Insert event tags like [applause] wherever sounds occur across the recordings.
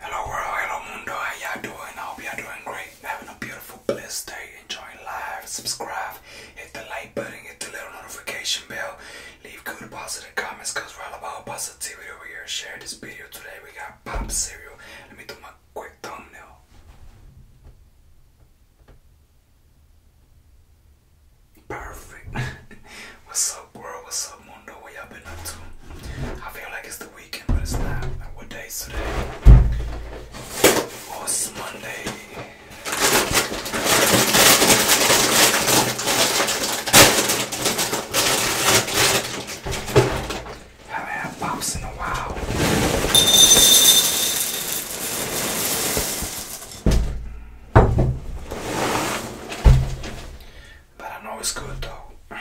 Hello world, hello mundo, how y'all doing? I hope y'all doing great. Having a beautiful, blessed day. Enjoying life. subscribe, hit the like button, hit the little notification bell. Leave good positive comments because we're all about positivity over here. Share this video today. We got pop cereal. Let me do my quick thumbnail. Perfect. [laughs] What's up, world? What's up, Mundo? Where y'all been up to? I feel like it's the weekend, but it's not. Like, what day is today? Oh, it's Monday. Haven't had pops in a while. But I know it's good though.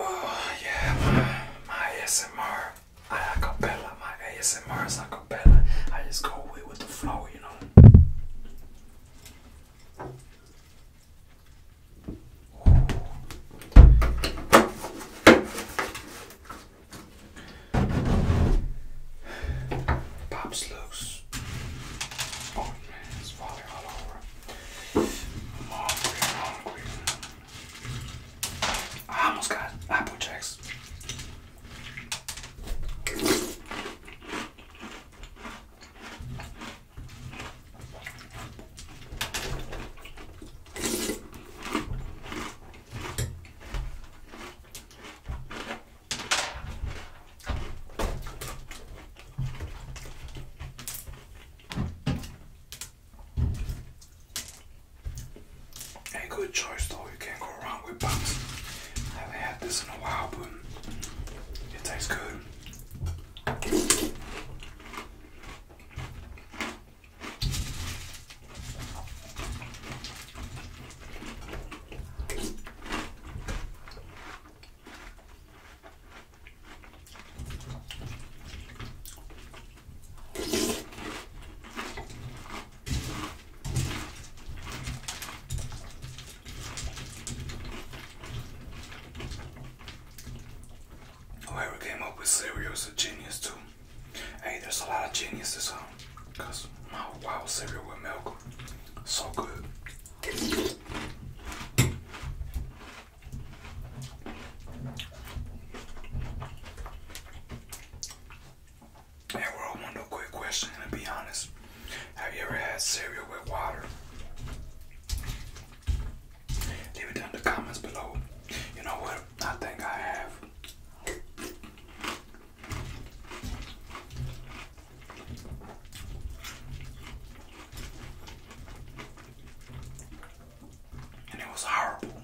Oh, yeah, my, ASMR, I acapella, my ASMR is acapella. I just go with the flow, you know. Pops loose. Oh man, it's falling all over. I'm hungry, hungry. I almost got Apple Jacks. A good choice though, you can't go wrong with buns. haven't had this in a while, but it tastes good. Whoever came up with cereal is a genius too. Hey, there's a lot of geniuses, huh? Cause my wow cereal with milk, so good. Hey, we're all one quick question, and be honest, have you ever had cereal with water? Leave it down in the comments below. You know what? I think I have. And it was horrible.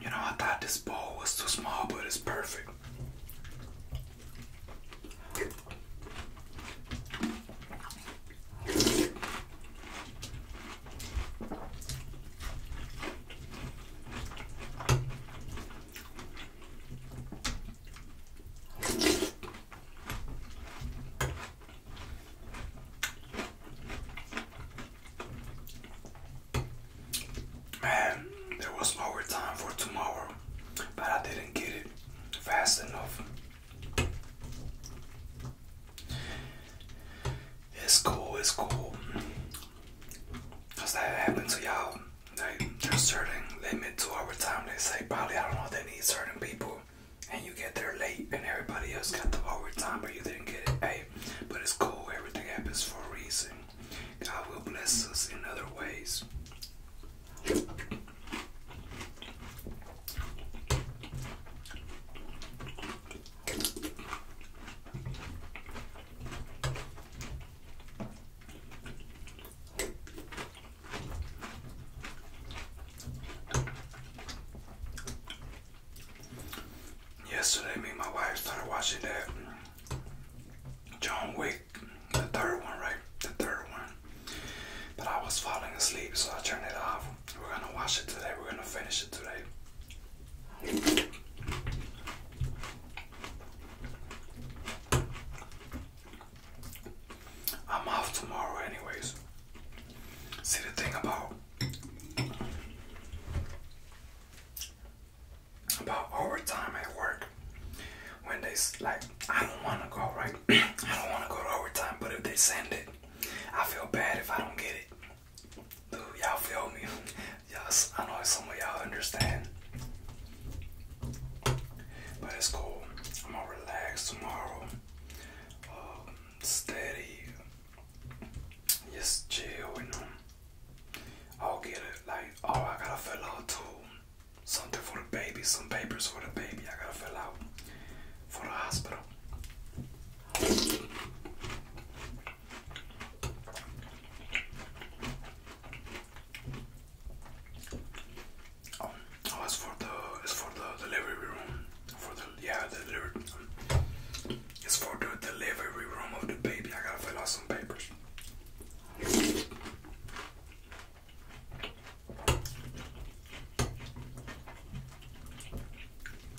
You know, I thought this bowl was too small, but it's perfect. Man, there was overtime for tomorrow, but I didn't get it fast enough. It's cool, it's cool. Does that happen to y'all? Like there's certain limit to overtime. They say probably I don't know they need certain people, and you get there late, and everybody else got the overtime, but you didn't get it. Hey, but it's cool. Everything happens for a reason. God will bless us in other ways. Yesterday, me and my wife started watching that John Wick, the third one, right? The third one. But I was falling asleep, so I turned it off. We're gonna watch it today. We're gonna finish it today. I'm off tomorrow, anyways. See, the thing about about overtime at work when they like, I don't want to go, right? [clears throat] I don't want to go to overtime, but if they send it, I feel bad if I don't get it. Do y'all feel me? Yes, I know some of y'all understand. But it's cool. I'm gonna relax tomorrow. Um, steady. Just chill and um, I'll get it. Like, oh, I gotta fill out too. Something for the baby, some papers for the baby. I gotta fill out for the hospital. Oh, oh for the it's for the delivery room. For the yeah, the delivery. It's for the delivery room of the baby. I gotta fill out some papers.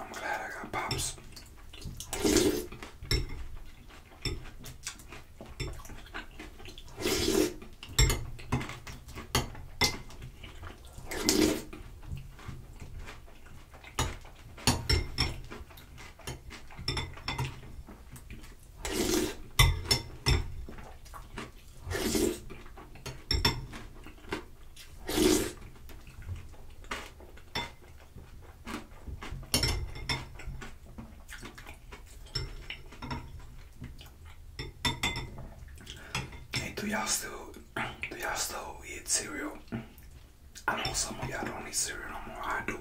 I'm glad I got pops do y'all still do y'all still eat cereal? I know some of y'all don't eat cereal no more. I do.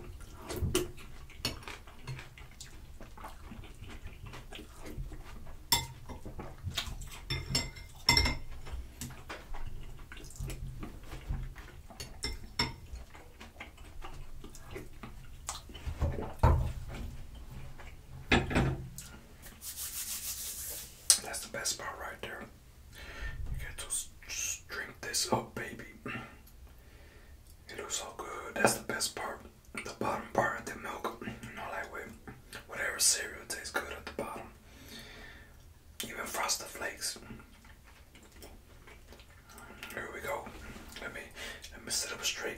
That's the best part right there. You get to drink this up, baby. It looks so good. That's the best part. The bottom part of the milk. You know, like with whatever cereal tastes good at the bottom even faster flakes. Here we go. Let me let me sit up straight.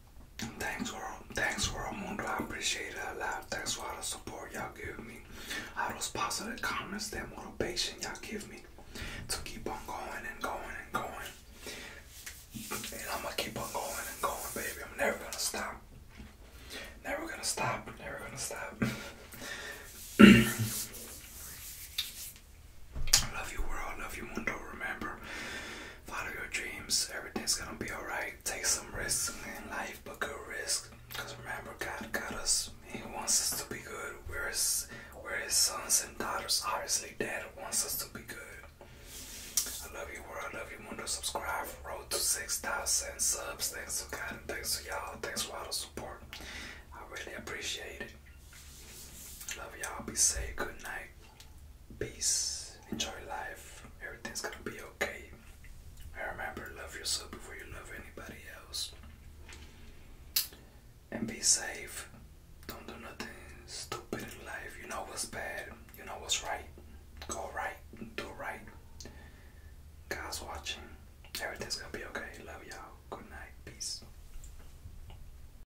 Thanks, world. Thanks, world mundo. I appreciate it a lot. Thanks for all the support y'all give me. All those positive comments, that motivation y'all give me to keep on going and going and going. And I'm gonna keep on going and going, baby. I'm never gonna stop. Never gonna stop. Never gonna stop. [laughs] I love you, world. I love you, mundo. Remember, Follow your dreams. Everything's gonna be alright. Take some risks in life, but good risks. Cause remember, God got us. He wants us to be good. Where his, where his sons and daughters, obviously, Dad wants us to be good. I love you, world. I love you, mundo. Subscribe. Road to 6,000 subs. Thanks to God and thanks to y'all. Thanks for all the support. I really appreciate it. Love y'all. Be safe. Good night. Peace. Enjoy life. Everything's gonna be okay. And remember, love yourself before you love anybody else. And be safe. Don't do nothing stupid in life. You know what's bad. You know what's right. Go right. Do right. Guys, watching. Everything's gonna be okay. Love y'all. Good night. Peace.